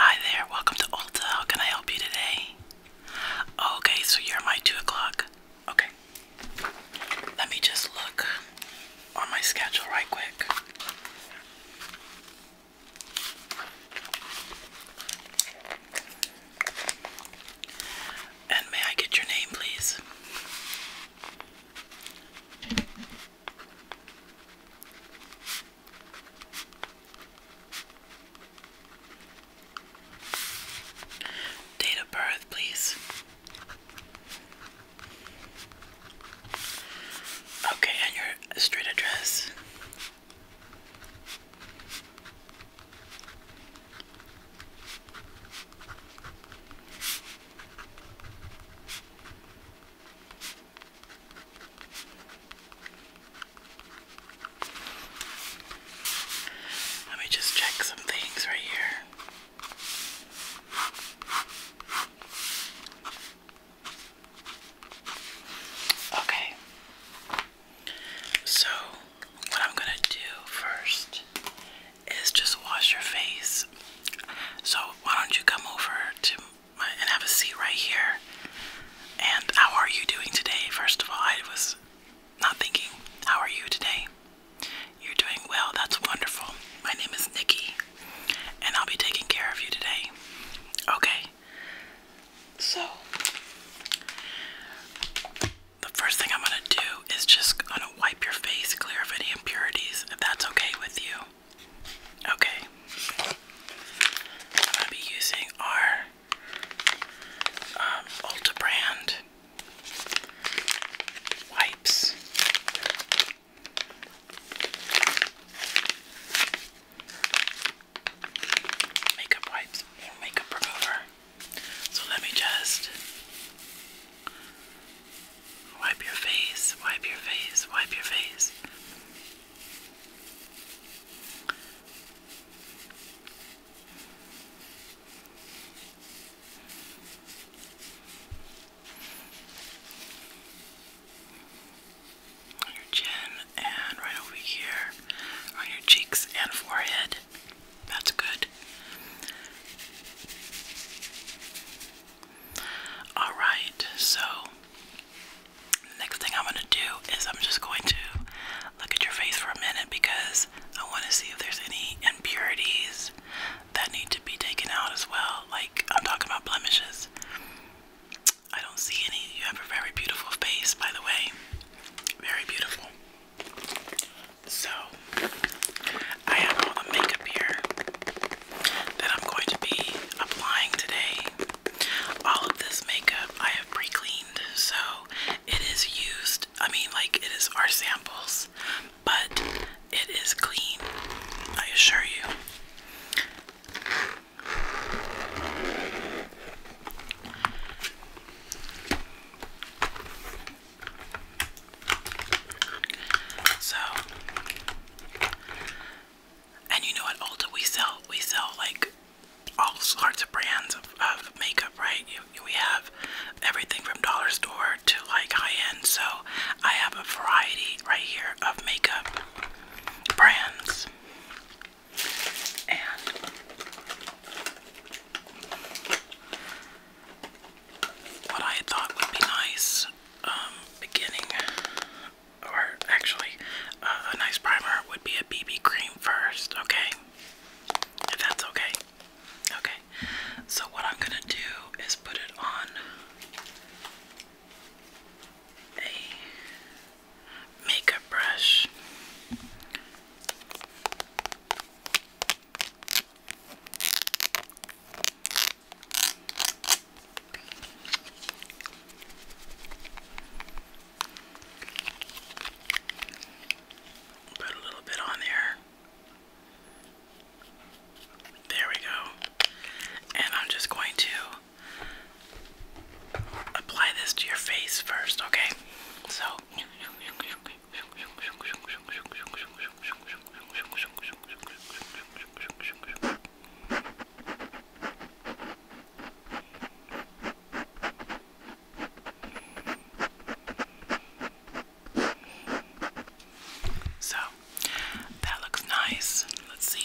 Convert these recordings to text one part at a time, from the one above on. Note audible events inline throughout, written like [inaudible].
Hi there, welcome to Ulta. How can I help you today? Okay, so you're my two o'clock. Okay. Let me just look on my schedule right quick. And may I get your name, please? Date of birth, please. Okay, and your street address. Let me just check some things right here. Okay. So, what I'm gonna do first is just wash your face. So, why don't you come over to my, and have a seat right here? And how are you doing today? First of all, I was not thinking, how are you today? You're doing well, that's wonderful. My name is Nikki, and I'll be taking care of you today. Okay, so the first thing I'm gonna do is just gonna wipe your face clear of any impurities, if that's okay with you. Okay. I'm gonna be using our um, Ulta brand wipes. Makeup wipes, makeup remover. So let me just wipe your face, wipe your face, wipe your face. On your chin and right over here on your cheeks and forehead. That's good. Alright, so next thing I'm going to do is I'm just going to look at your face for a minute because I want to see if there's any impurities that need to be taken out as well. Like, I'm talking about blemishes. I don't see any. You have a very beautiful face, by the way. Very beautiful. So, I have all the makeup here that I'm going to be applying today. All of this makeup I have pre cleaned, so it is used. I mean, like, it is our samples, but it is clean, I assure you. So, and you know at Ulta we sell we sell like all sorts of brands of, makeup, right? we have everything from dollar store to like high end. So I have a variety right here of makeup brands, and what I thought would be nice, um, beginning, or actually, uh, a nice primer would be a BB cream first, okay? If that's okay. Okay. So, what I'm gonna do is put it on a makeup brush. Put a little bit on there. There we go. And I'm just going to apply this to your face first, okay? So, so that looks nice. Let's see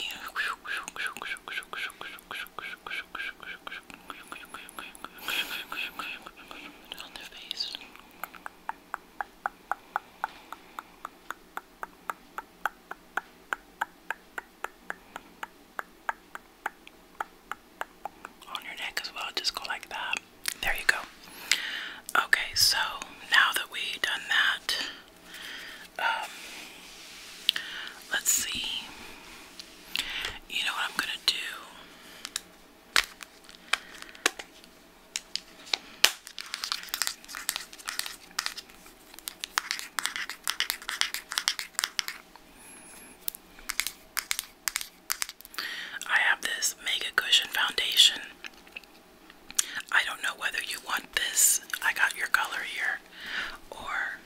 on their face. On your neck as well, just go like that. There you go. Okay, so now that we've done that, um, let's see. You know what I'm gonna do? I have this Mega Cushion Foundation. I don't know whether you want this, I got your color here, or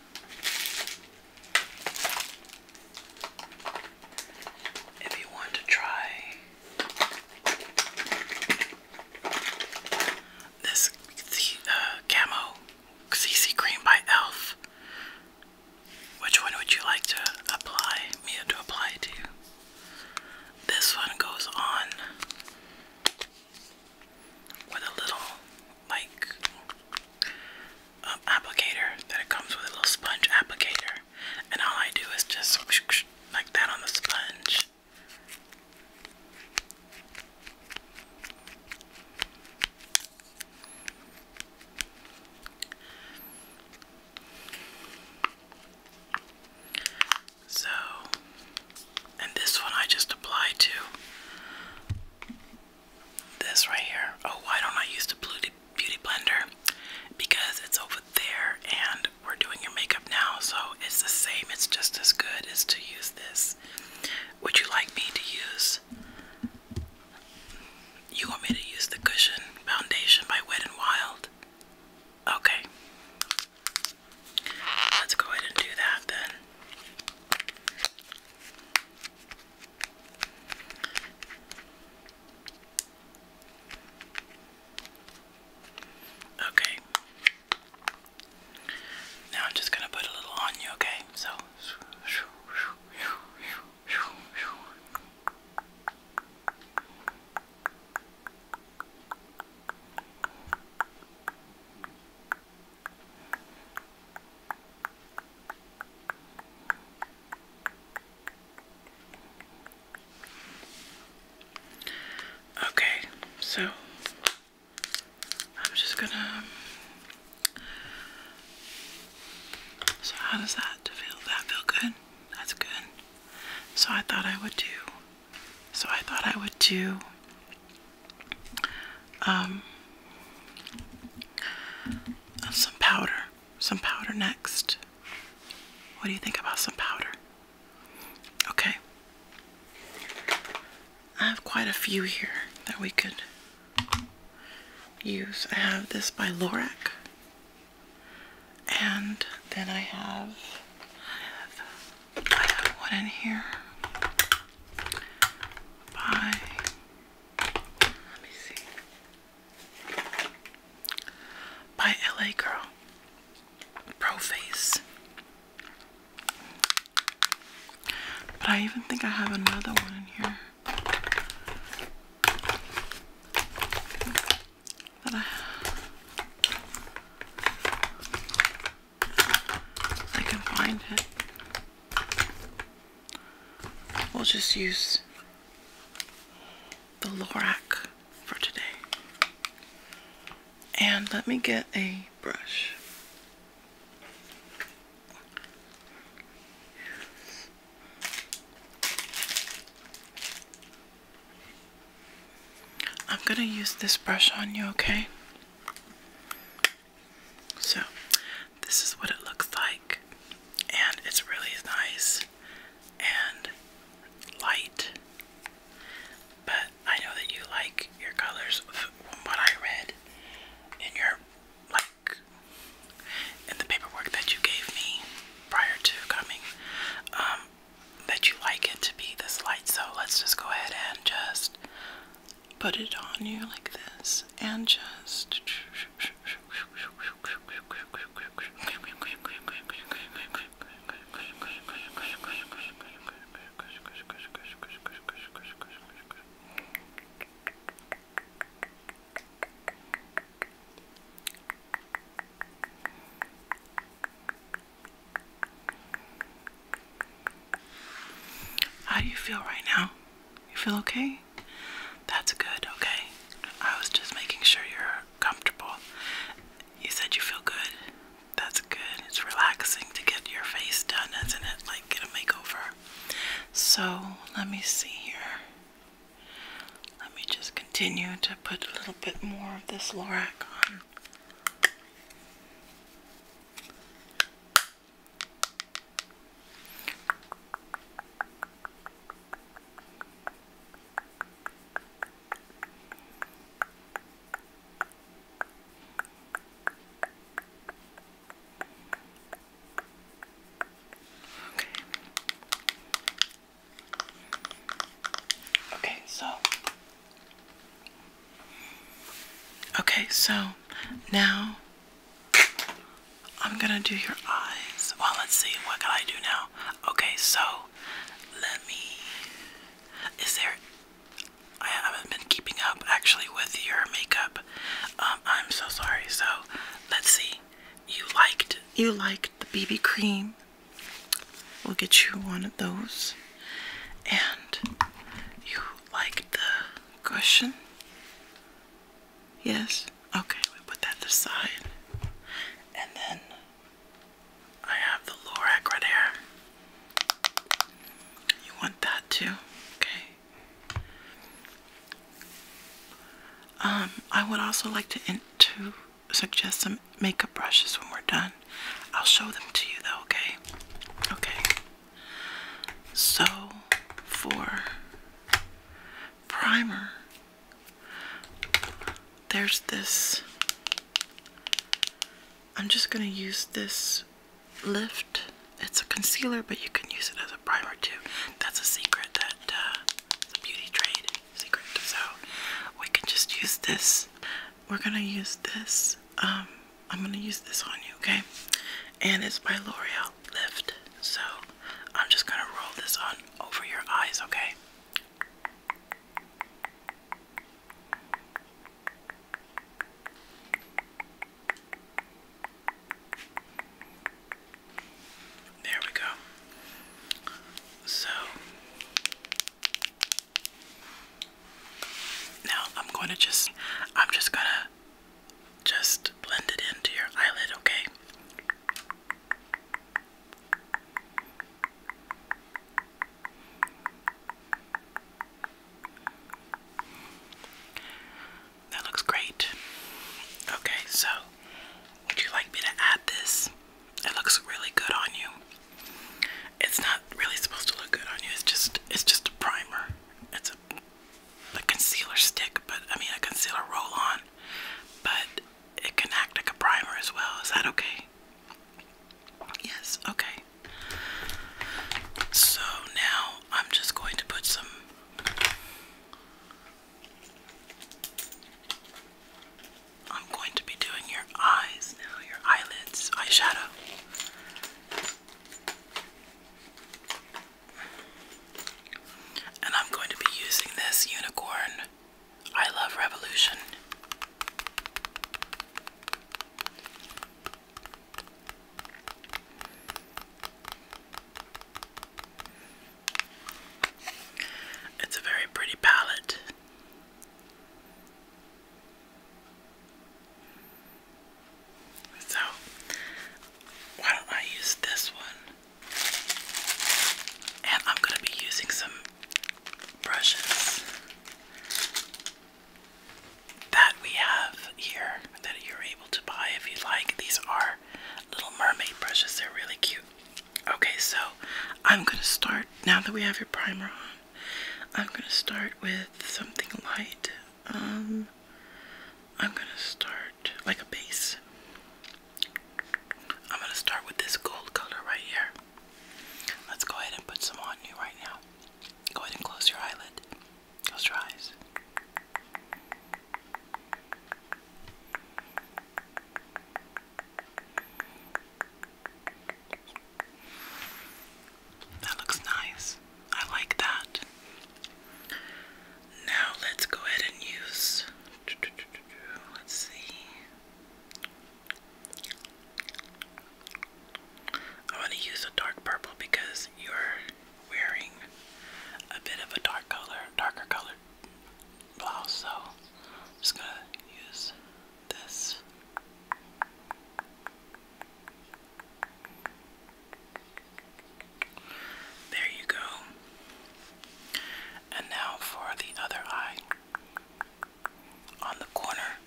if you want to try this uh, camo CC cream by Elf, which one would you like to apply me to apply to? This one goes on with a little like um, applicator that it comes with a little sponge applicator, and all I do is just [sniffs] like that on the sponge. So, and this one I just apply to this right here. Oh, why don't I use the Beauty Blender? Because it's over there and we're doing your makeup now, so it's the same. It's just as good as to use this. Would you like me to use? You want me to use the Cushion Foundation by Wet and Wild? Okay. Let's go ahead and do that then. Okay. Now I'm just gonna put a little on you, okay? So. Okay, so I'm just gonna. So, how does that feel? That feel good? That's good. So, I thought I would do. So, I thought I would do. Um, some powder some powder next. What do you think about some powder? Okay. I have quite a few here that we could use. I have this by Lorac. And then I have, I have, I have one in here by, let me see by LA Girl Pro But I even think I have another one in here that I can find it. We'll just use the Lorac for today. And let me get a brush. I'm gonna use this brush on you, okay? So, this is what it looks like, and it's really nice and light. But I know that you like your colors from what I read in your like in the paperwork that you gave me prior to coming. Um, that you like it to be this light, so let's just go ahead and just put it on you like this and just how do you feel right now? You feel okay? Okay, that's good. Okay, I was just making sure you're comfortable. You said you feel good. That's good. It's relaxing to get your face done, isn't it? Like get a makeover. So let me see here. Let me just continue to put a little bit more of this Lorac on. Okay, so okay, so now I'm gonna do your eyes. Well, let's see. What can I do now? Okay, so let me. Is there. I haven't been keeping up actually with your makeup. Um, I'm so sorry. So let's see. You liked you liked the BB cream. We'll get you one of those. And you liked the cushion. Yes? Okay, we put that aside. And then I have the Lorac right here. You want that too? Okay. Um, I would also like to, in suggest some makeup brushes when we're done. I'll show them to you though, okay? Okay. So, for primer, there's this. I'm just going to use this lift. It's a concealer, but you can use it as a primer too. That's a secret that uh, beauty trade secret. So we can just use this. We're going to use this. Um, I'm going to use this on you, okay? And it's by L'Oreal Lift. So I'm just gonna roll this on over your eyes, okay? There we go. So now I'm going to just I'm just going to just blend it into your eyelid, okay? That looks great. Okay, so would you like me to add this? It looks really good on you. It's not really supposed to look good on you. It's just it's just a primer. It's a a concealer stick, but I mean a concealer roll on. But it can act like a primer as well. Is that okay? Yes, okay. So now I'm just going to put some. I'm going to be doing your eyes now, your eyelids, eyeshadow. And I'm going to be using this unicorn I love revolution. It's a very pretty palette. So, why don't I use this one and I'm going to be using some brushes that we have here that you're able to buy if you like. These are little mermaid brushes, they're really cute. Okay, so I'm going to start now that we have your primer on. I'm going to start with something light. Um, I'm going to start like a base. I'm going to start with this gold color right here. Let's go ahead and put some on you right now. Go ahead and close your eyelid. Close your eyes. That looks nice. I like that. Now let's go ahead and use. Let's see. I want to use a dark purple because you're wearing a bit of a dark color, darker colored blouse. So just going to use this. There you go. And now for the other eye. On the corner.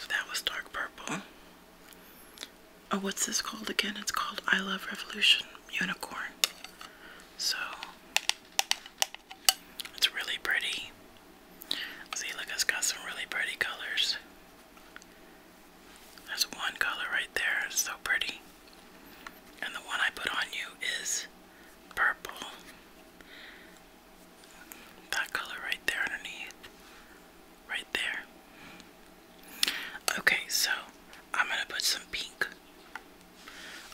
So that was dark purple. Oh, what's this called again? It's called I Love Revolution Unicorn. So it's really pretty. See, look, it's got some really pretty colors. There's one color right there, it's so pretty. And the one I put on you is purple. That color right there underneath. Right there. Okay, so I'm gonna put some pink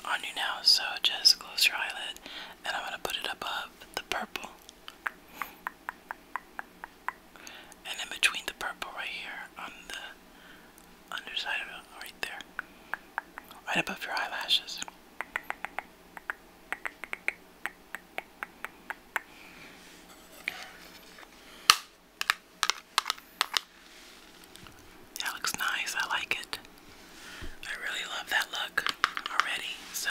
on you now. So just close your eyelid and I'm gonna put it above the purple. And in between the purple right here on the underside right there. Right above your eyelashes. That looks nice, I like it. I really love that look already, so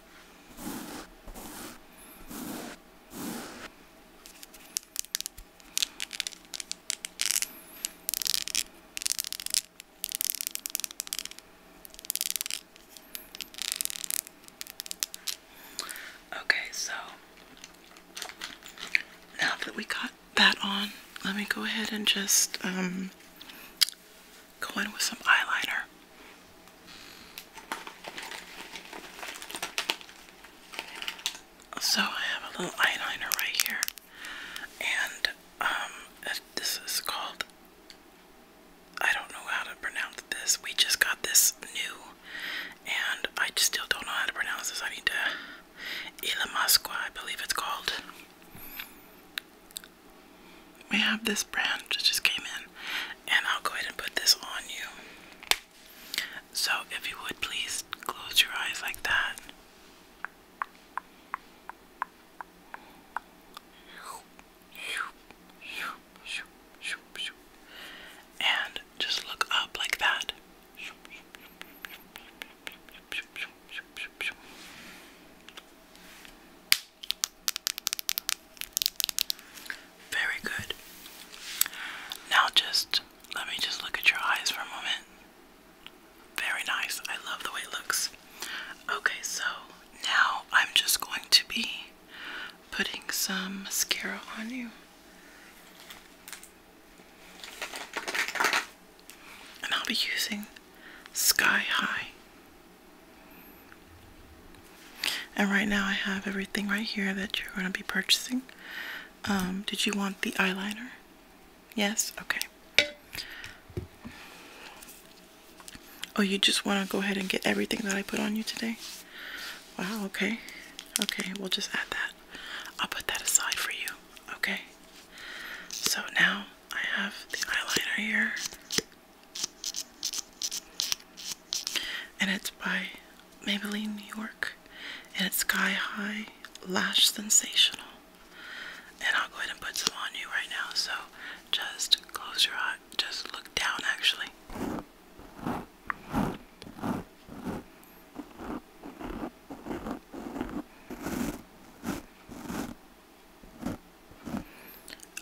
Okay, so now that we got that on, let me go ahead and just um, Go in with some eyeliner. So I have a little eyeliner right here, and um, this is called. I don't know how to pronounce this. We just got this new, and I still don't know how to pronounce this. I need to. Ilamasqua, I believe it's called. We have this brand that just came in, and I'll go ahead and put this on you. So, if you would please close your eyes like that. And just look up like that. Very good. Now just let me just look at your eyes for a moment. Very nice. I love the way it looks. Okay, so now I'm just going to be putting some mascara on you. And I'll be using Sky High and right now I have everything right here that you're going to be purchasing. Um, did you want the eyeliner? Yes? Okay. Oh, you just want to go ahead and get everything that I put on you today? Wow, okay. Okay, we'll just add that. I'll put that aside for you. Okay. So now I have the eyeliner here. And it's by Maybelline New York. And it's Sky High Lash Sensational. And I'll go ahead and put some on you right now. So just close your eye. Just look down actually.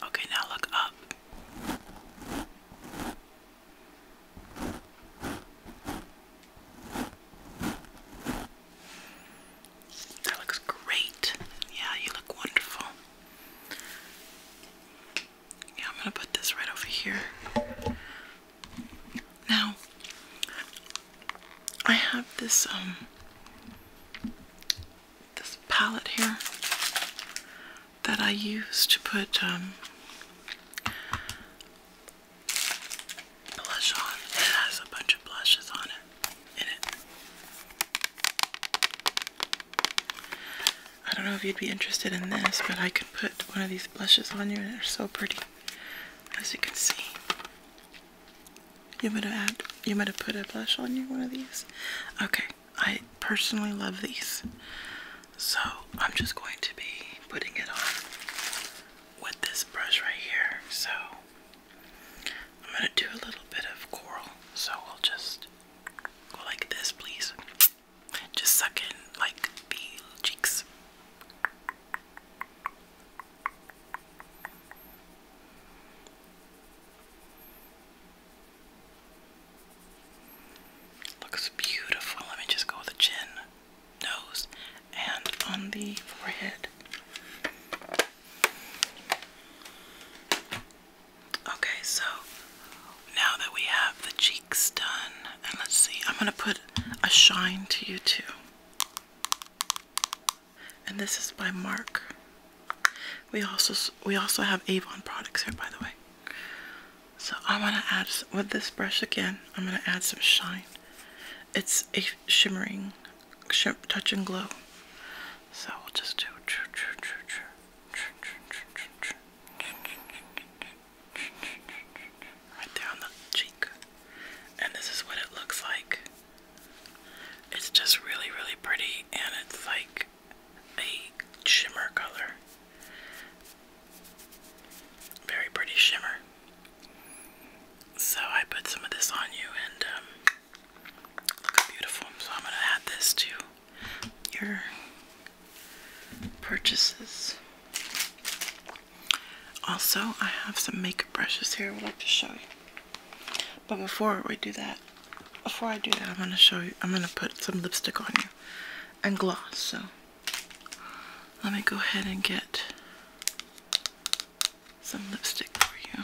Okay, now look up. That looks great. Yeah, you look wonderful. Yeah, I'm gonna put this right over here. Now, I have this um this palette here that I use to put um, blush on. It has a bunch of blushes on it in it. I don't know if you'd be interested in this, but I could put one of these blushes on you and they're so pretty. As you can see. You might have you might have put a blush on you, one of these. Okay, I personally love these. So I'm just going to be putting it on with this brush right here. So I'm going to do a little bit of coral. So i will just go like this, please. Just suck in like the cheeks. Looks beautiful. Let me just go with the chin, nose, and on the forehead. Okay, so now that we have the cheeks done, and let's see, I'm gonna put a shine to you too. And this is by Mark we also we also have Avon products here, by the way. So I'm gonna add with this brush again. I'm gonna add some shine. It's a shimmering, shim, touch and glow. So we'll just do. Right there on the cheek. And this is what it looks like. It's just really, really pretty, and it's like a shimmer color. Very pretty shimmer. So I put some of this on you and um, beautiful. So I'm going to add this to your purchases. Also, I have some makeup brushes here I would like to show you. But before we do that, before I do that, I'm going to show you, I'm going to put some lipstick on you and gloss. So let me go ahead and get some lipstick for you.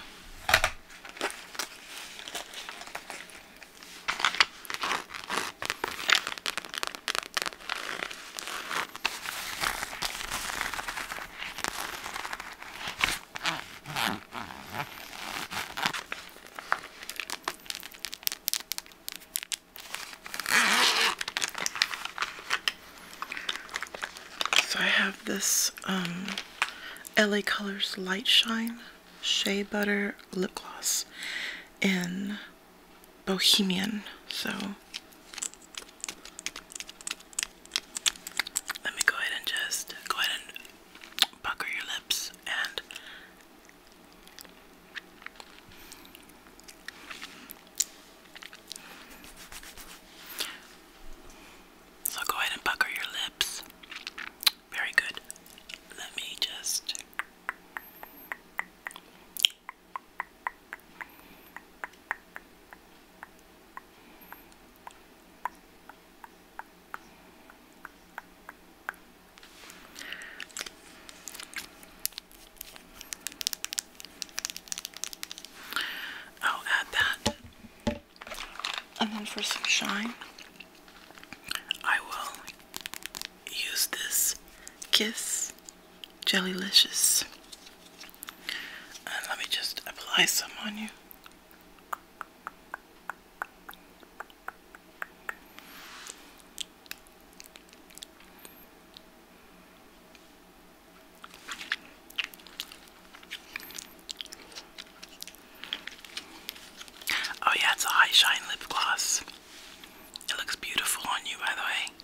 So I have this um, LA Colors Light Shine Shea Butter Lip Gloss in Bohemian. So let me go ahead and just go ahead and pucker your lips and so go ahead and pucker your lips. Very good. Let me just I'll add that. And then for some shine, I will use this Kiss Jelly Licious. let me just apply some on you. Oh, yeah, it's a high shine lip gloss. It looks beautiful on you, by the way.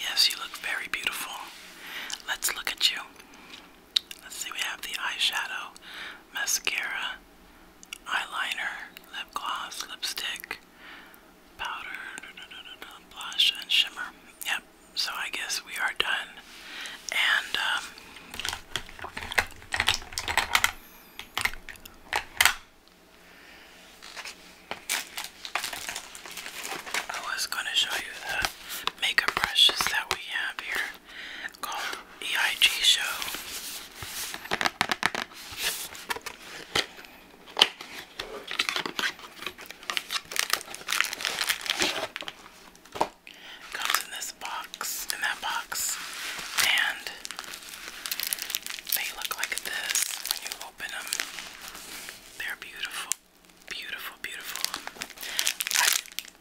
Yes, you look very beautiful. Let's look at you. Let's see, we have the eyeshadow, mascara, eyeliner, lip gloss, lipstick, powder, blush, and shimmer. Yep, so I guess we are done. And, um,. I was going to show you the makeup brushes that we have here called EIG Show. Comes in this box, in that box, and they look like this when you open them. They're beautiful. Beautiful, beautiful.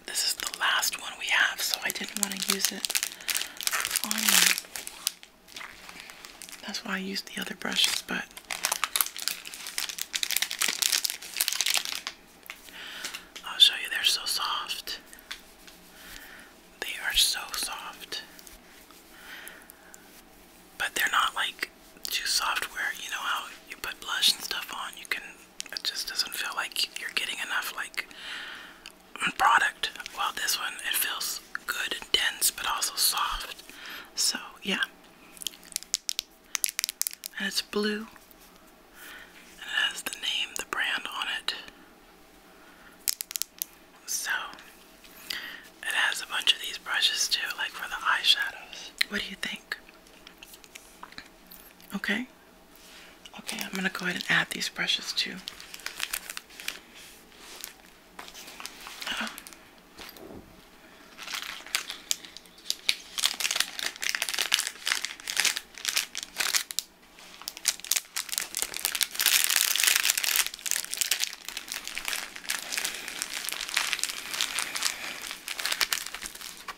this is the last one we have, so I didn't want to use it on me. That's why I used the other brushes, but I'll show you, they're so soft. They are so soft. But they're not like too soft where you know how you put blush and stuff on, you can it just doesn't feel like you're getting enough like product. Well, this one, it feels good and dense, but also soft. So yeah, and it's blue, and it has the name, the brand on it. So it has a bunch of these brushes too, like for the eyeshadows. What do you think? Okay. Okay. I'm going to go ahead and add these brushes too.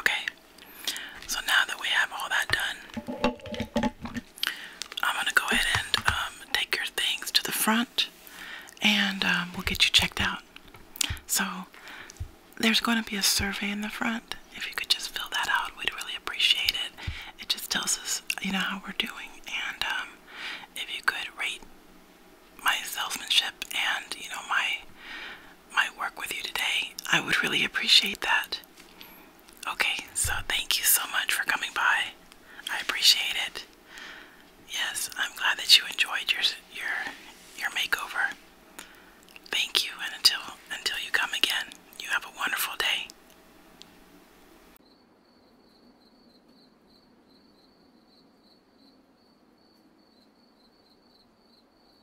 Okay, so now that we have all that done, I'm gonna go ahead and um, take your things to the front and um, we'll get you checked out. So, there's going to be a survey in the front. If you could just fill that out, we'd really appreciate it. It just tells us, you know, how we're doing, and um, if you could rate my salesmanship and you know my my work with you today, I would really appreciate that. Okay, so thank you so much for coming by. I appreciate it. Yes, I'm glad that you enjoyed your your your makeover. Thank you, and until until you come again, you have a wonderful day.